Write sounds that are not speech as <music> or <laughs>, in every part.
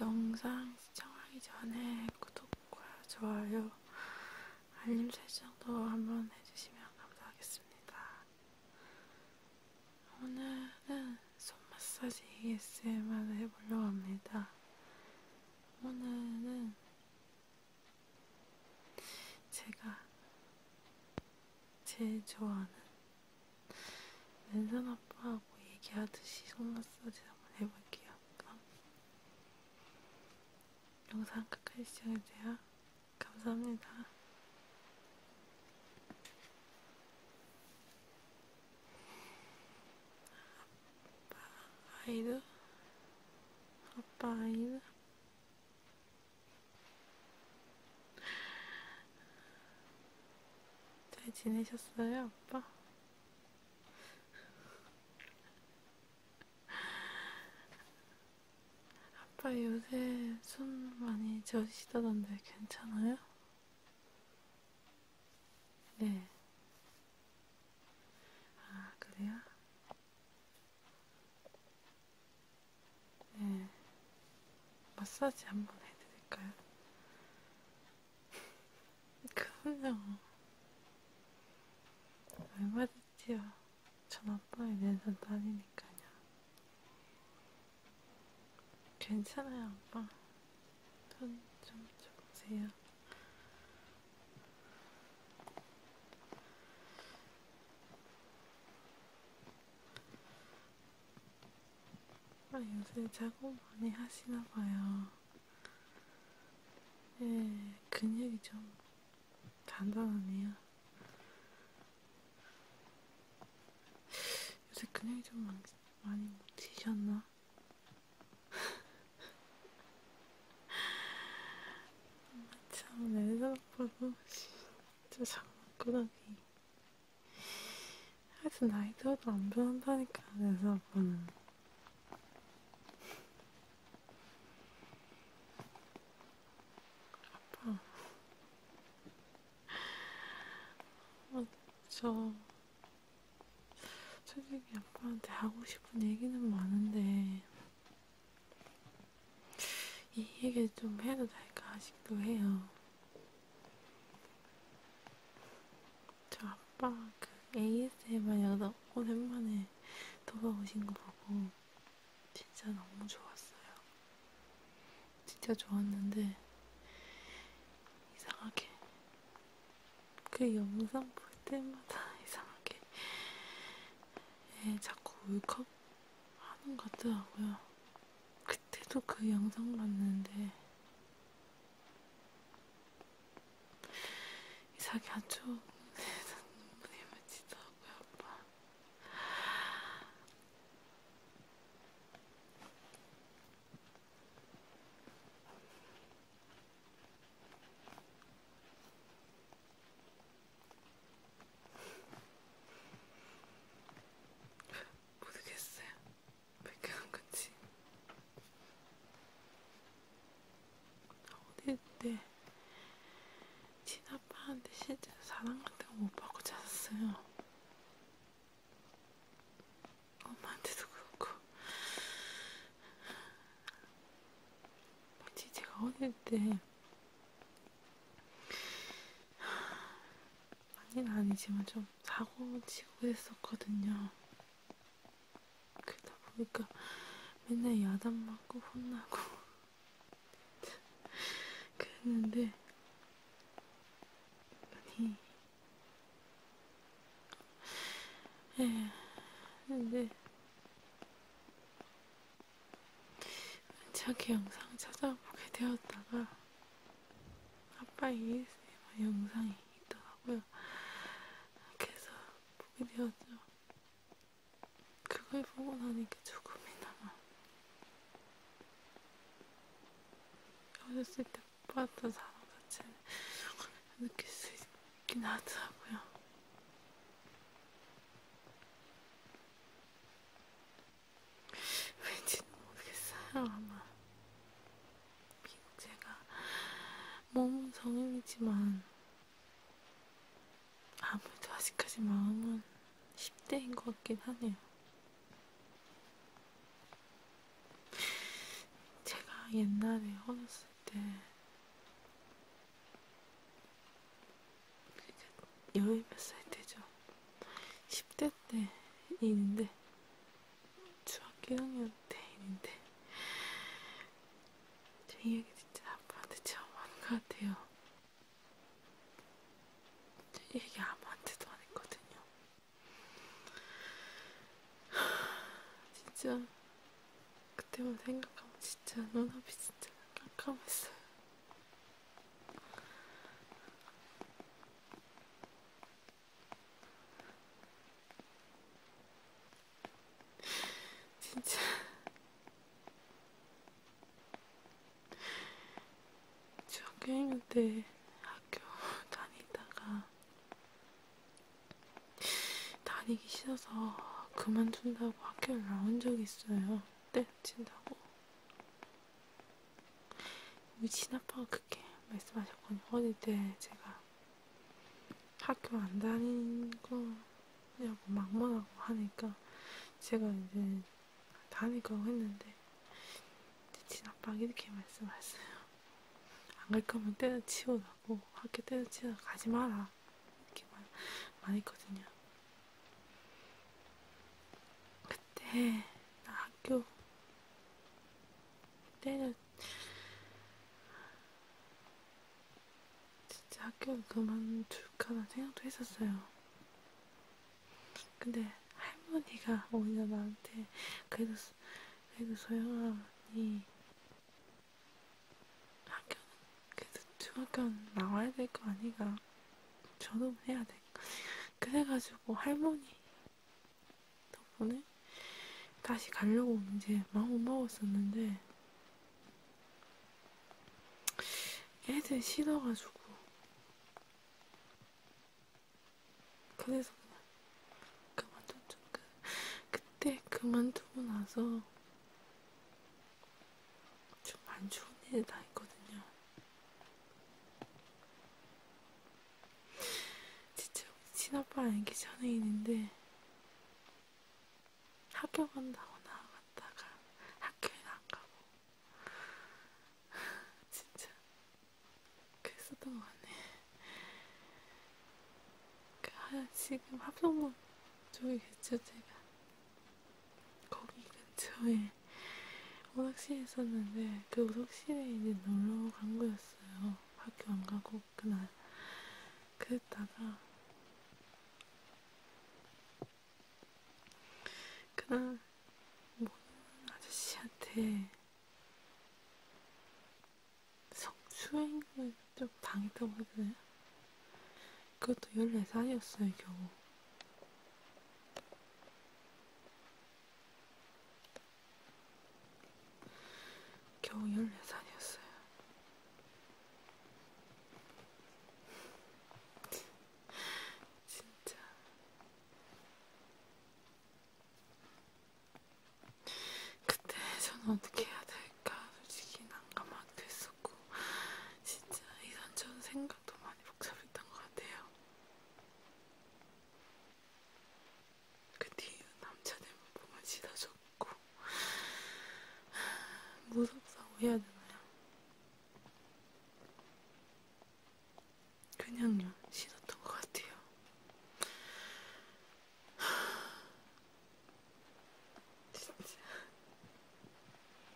영상 시청하기 전에 구독과 좋아요, 알림 설정도 한번 해주시면 감사하겠습니다. 오늘은 손 마사지 ASMR을 해보려고 합니다. 오늘은 제가 제일 좋아하는 랜선 아빠하고 얘기하듯이 손 마사지 한번 해볼게요. 그럼 영상 끝까지 시청해주세요. 감사합니다. 아빠 아이들 아빠 아이들 잘 지내셨어요 아빠? 아빠 요새 손 많이 저시다던데 괜찮아요? 네. 아, 그래요? 네. 마사지 한번 해드릴까요? <laughs> 그럼요. 얼마든지요. 전 아빠의 내전 딸이니까요. 괜찮아요, 아빠. 편좀 주세요. 아, 요새 작업 많이 하시나봐요. 예, 근육이 좀 단단하네요. 요새 근육이 좀 많이 못 치셨나? 참, 내생각보도 진짜 장난꾸러기. 하여튼 나이 들어도 안 변한다니까, 내생각보는 아빠. 어, 저 솔직히 아빠한테 하고 싶은 얘기는 많은데 이 얘기를 좀 해도 될까 싶기도 해요. 저 아빠 그 ASMR 여러 오랜만에 돌아오신 거 보고 진짜 너무 좋았어요. 진짜 좋았는데 이상하게 그 영상 볼 때마다 <laughs> 이상하게 애 예, 자꾸 울컥 하는 것 같더라고요. 그때도 그 영상 봤는데 이상하게 한쪽 눈물이 맺히더라고요, 아빠. 모르겠어요. 왜이렇게 한 건지. 어릴 때 친아빠한테 실제로 사랑 같은 거못 받고 자랐어요. 엄마한테도 그렇고 마치 제가 어릴 때 많이는 아니지만 좀 사고 치고 그랬었거든요. 그러다 보니까 맨날 야단 맞고 혼나고 <laughs> 그랬는데 아니 예, 근데 자기 영상 찾아보게 되었다가 아빠 ASMR 영상이 있더라고요. 그래서 보게 되었죠. 그걸 보고 나니까 조금이나마 어렸을 때 예뻤던 사람 자체는 느낄 수 있긴 하더라고요. 왠지는 모르겠어요. 아마 제가 몸은 성인이지만 아무래도 아직까지 마음은 10대인 것 같긴 하네요. 제가 옛날에 어렸을 때 열몇 살 때죠. 10대 때 일인데 중학교 1학년 때 일인데 제 이야기 진짜 아빠한테 처음 하는 것 같아요. 제 얘기 아무한테도 안 했거든요. 진짜 그때만 생각하면 진짜 눈앞이 진짜 깜깜했어요. 진짜 중학교 1학년 때 학교 <laughs> 다니다가 다니기 싫어서 그만둔다고 학교를 나온 적이 있어요. 때려친다고. 우리 친아빠가 그렇게 말씀하셨거든요. 어릴 때 제가 학교 안 다닌 거냐고 막말하고 하니까 제가 이제 다닐 거고 했는데 친아빠가 이렇게 말씀하셨어요. 안 갈 거면 때려치우라고 학교 때려치우라 가지 마라 이렇게 말, 말했거든요. 그때 나 학교 때려 진짜 학교를 그만둘까라는 생각도 했었어요. 근데 할머니가 오히려 나한테 그래도 그래도 소영아 니 학교 그래도 중학교는 나와야 될 거 아니가 저도 해야 돼. 그래가지고 할머니 덕분에 다시 가려고 이제 마음 먹었었는데 애들 싫어가지고 그래서 그만뒀죠. 그, 그때 그만두고 나서 좀 안 좋은 일이 다 있거든요. 진짜 우리 친아빠는 기 전애인인데 학교 간다고 나갔다가 학교에 안 가고 진짜 그랬었던 것 같네. 그 하, 아, 지금 합성문 쪽이겠죠, 제가. 거기 근처에 오락실 있었는데 그 오락실에 이제 놀러 간 거였어요. 학교 안 가고 그날. 그랬다가 그날 모든 아저씨한테 성추행을 좀 당했다고 해야 되나요? 그것도 14살이었어요, 겨우. 겨우 14살이었어요. <laughs> 진짜 그때 저는 어떻게 해야 될까 솔직히 난감하기도 했었고 진짜 이런저런 생각도 많이 복잡했던 것 같아요. 그 뒤에 남자들만 보면 짖어졌고 무섭다고 해야 되나요? 그냥 신었던 것 같아요. <sighs> 진짜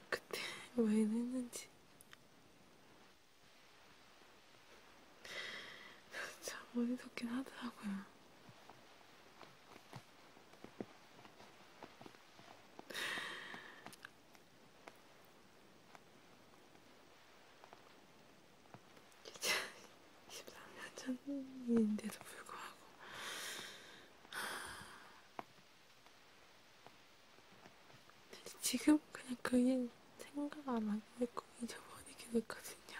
그때 왜 했는지 <laughs> 참 어리석긴 하더라고요. 23년 전인데도 불구하고 지금 그냥 그일 생각 안 하게 됐고 잊어버리게 됐거든요.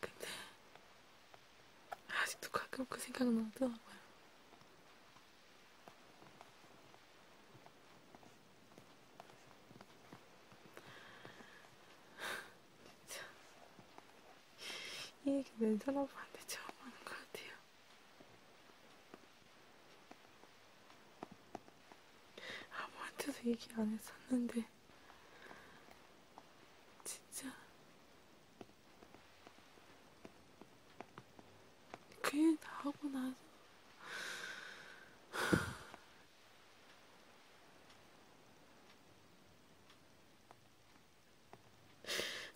근데 아직도 가끔 그 생각은 나더라고요. 이 얘기 멘탈 아빠한테 처음 하는 것 같아요. 아무한테도 얘기 안 했었는데 진짜 그게 나하고 나서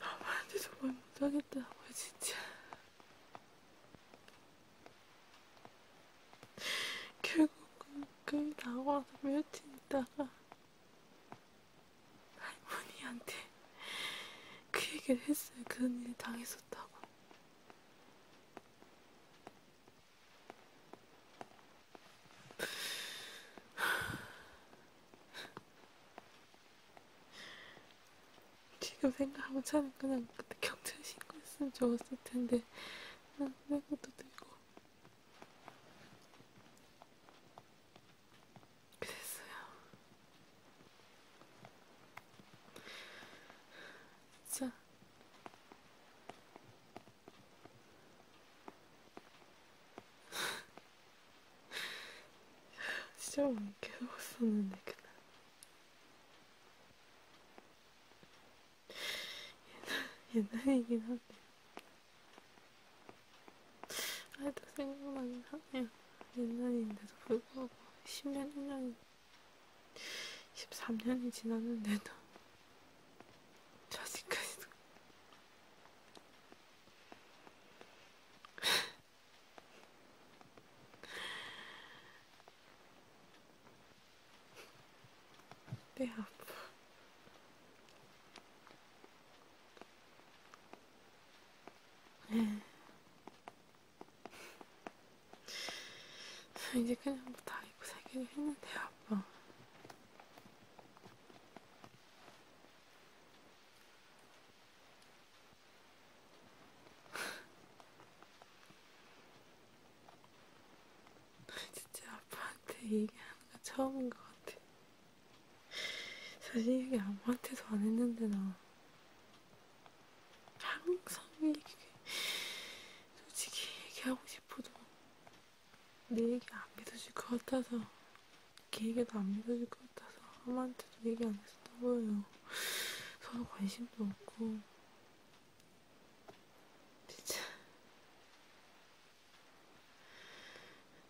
엄마한테도 뭘 못하겠다고 진짜 결국은 그 나고 나서 며칠 있다가 할머니한테 그 얘기를 했어요. 그런 일이 당했었다고. 지금 생각하면 차는 그냥 그때 경찰 신고했으면 좋았을 텐데 난 아, 내 것도 들고 그랬어요. 자. <laughs> 진짜 많이 괴로웠었는데, 그날. 옛날, 옛날이긴 한데. 아직도 생각나긴 하네요. 옛날인데도 불구하고, 10년, 1년인데. 13년이 지났는데도 자식까지도 <laughs> 내 아파 네. 이제 그냥 뭐다 입고 살기로 했는데요, 아빠. <laughs> 진짜 아빠한테 얘기하는 거 처음인 것 같아. 사실 얘기 아무한테도 안 했는데 나 항상 얘기해. 솔직히 얘기하고 싶어도 내 얘기 안 믿어질 것 같아서 걔 얘기도 안 믿어질 것 같아서 아무한테도 얘기 안 했었던 거예요. 서로 관심도 없고 진짜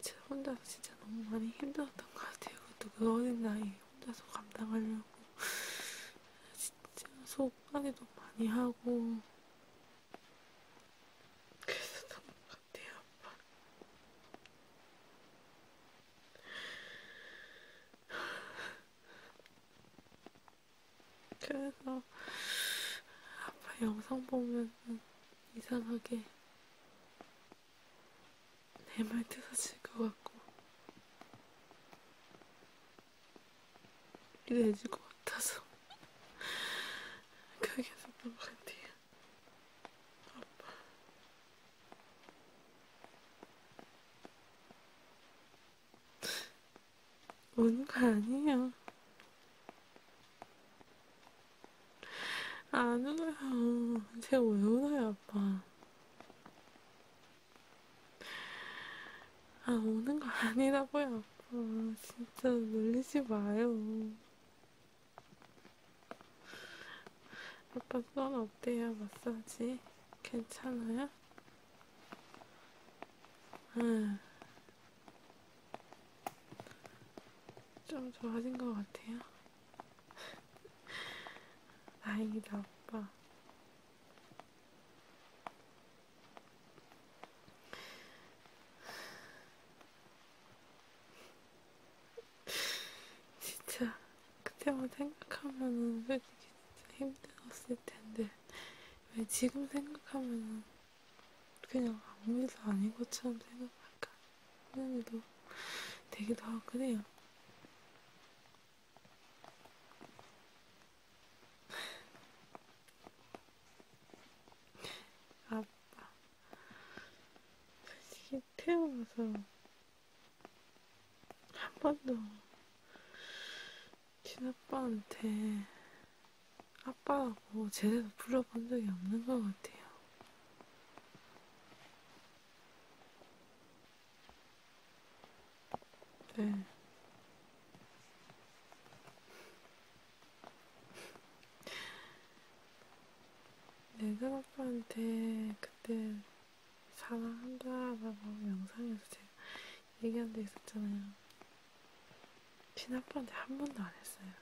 제가 혼자서 진짜 너무 많이 힘들었던 것 같아요. 그것도 그 어린 나이에 혼자서 감당하려고 <laughs> 진짜 속까지도 많이 하고 그래서 너무 같아요 아빠 <laughs> 그래서 아빠 영상 보면 이상하게 내말 뜯어질 것 같고 이래질 것 같아서 <laughs> 그게서 너무한데 아빠 우는 거 아니에요 안 울어요 제가 왜 울어요 아빠 아, 오는 거 아니라고요. 아, 진짜 놀리지 마요. 아빠 손 어때요? 마사지? 괜찮아요? 응. 좀 좋아진 것 같아요. 다행이다, 오빠. 진짜 그때만 생각하면은 솔직히 진짜 힘들었을 텐데 왜 지금 생각하면은 그냥 아무 일도 아닌 것처럼 생각할까 하는 일도 되기도 하고 그래요. 아빠, 솔직히 태어나서 한 번도 친아빠한테 아빠라고 제대로 불러본 적이 없는 것 같아요. 네. 내가 오빠한테 그때 사랑한다 라고 영상에서 제가 얘기한 적 있었잖아요. 친아빠한테 한 번도 안 했어요.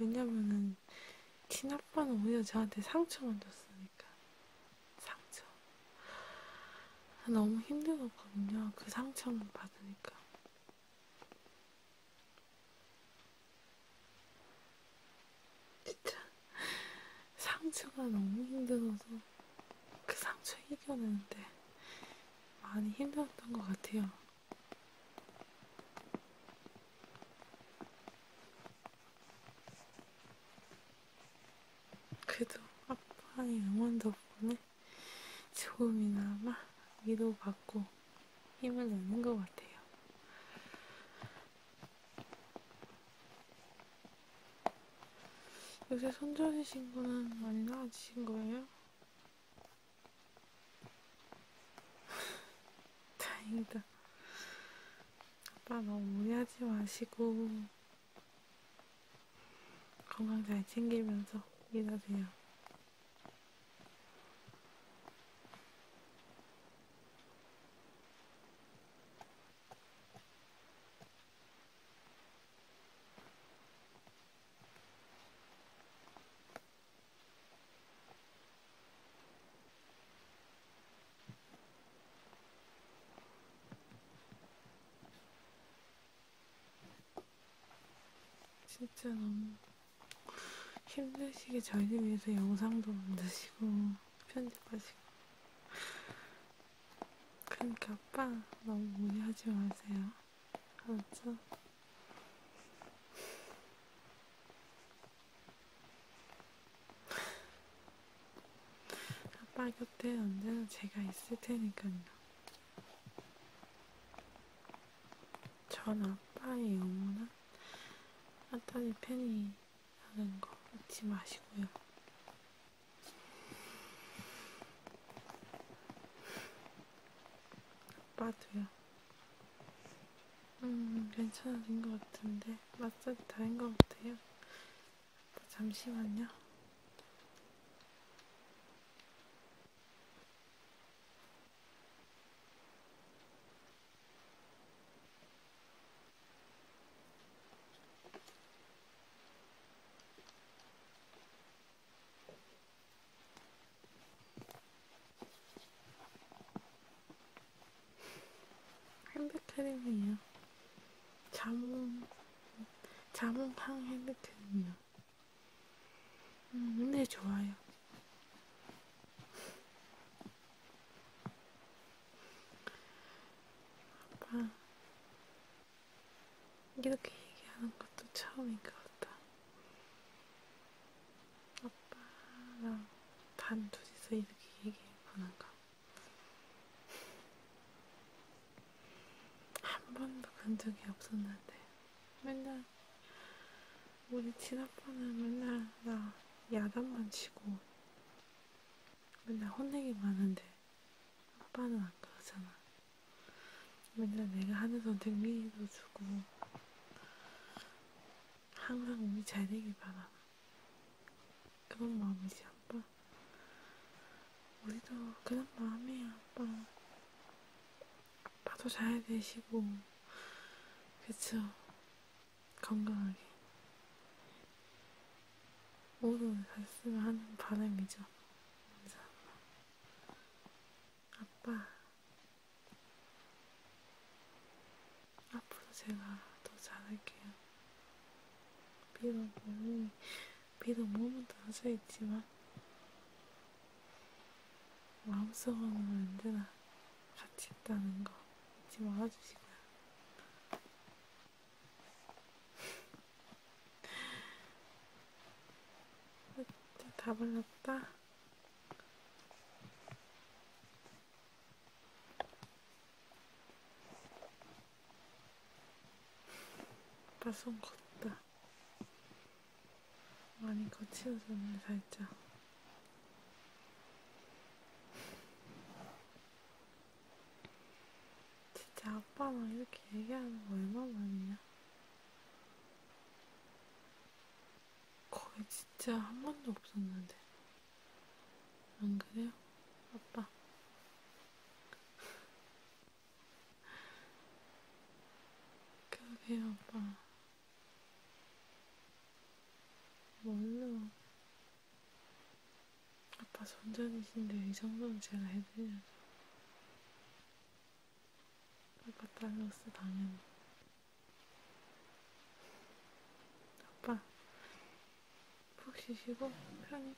왜냐면은 아빠는 친아빠는 오히려 저한테 상처만 줬으니까 상처 아, 너무 힘들었거든요. 그 상처만 받으니까 진짜 상처가 너무 힘들어서 그 상처 이겨내는데 많이 힘들었던 것 같아요. 그래도 아빠의 응원 덕분에 조금이나마 위로받고 힘을 내는 것 같아요. 요새 손절이신 분은 많이 나아지신 거예요? <laughs> 다행이다. 아빠 너무 무리하지 마시고 건강 잘 챙기면서 일하세요. 진짜 너무 힘드시게 저희를 위해서 영상도 만드시고 편집하시고 그러니까 아빠 너무 무리하지 마세요 알았죠? 아빠 곁에 언제나 제가 있을 테니까요. 전 아빠의 영원한 아따의 팬이라는 거 잊지 마시고요. 아빠도요. 음, 괜찮아진 것 같은데. 마사지 다인 것 같아요. 잠시만요. 핸드크림이에요. 자몽, 자몽향 핸드크림이요. 음, 네, 좋아요. 아빠, 이렇게 얘기하는 것도 처음인 것 같다. 아빠랑 단 둘이서 이렇게 얘기하는가? 한 번도 간 적이 없었는데 맨날 우리 친아빠는 맨날 나 야단만 치고 맨날 혼내기만 하는데 아빠는 안 그러잖아 맨날 내가 하는 선택 미도 주고 항상 운이 잘 되길 바라. 그런 마음이지, 아빠. 우리도 그런 마음이야, 아빠. 아빠도 잘 되시고, 그쵸? 건강하게. 모두 잘쓰면 하는 바람이죠. 아빠, 앞으로 제가 더 잘할게요. 비록 몸이, 비록 몸은 다져 있지만, 마음속으로는 언제나 같이 있다는 거 잊지 말아주시고요. <laughs> 다 발랐다. 빠손 걷다. 많이 거치워졌네, 살짝. 진짜 아빠랑 이렇게 얘기하는 거 얼마나 많냐? 거기 진짜 한 번도 없었는데. 안 그래요? 아빠. <laughs> 그러게요, 아빠. 뭘로? 아빠 손전이신데 이 정도는 제가 해드려야죠. 아빠 딸로서 당연히. 아빠 푹 쉬시고 편히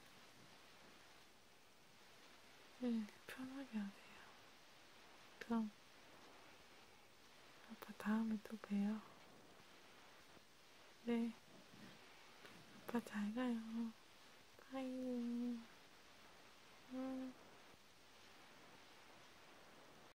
네 편하게 하세요. 그럼 아빠 다음에 또 봬요. 네 아빠 잘 가요. 바이. 음.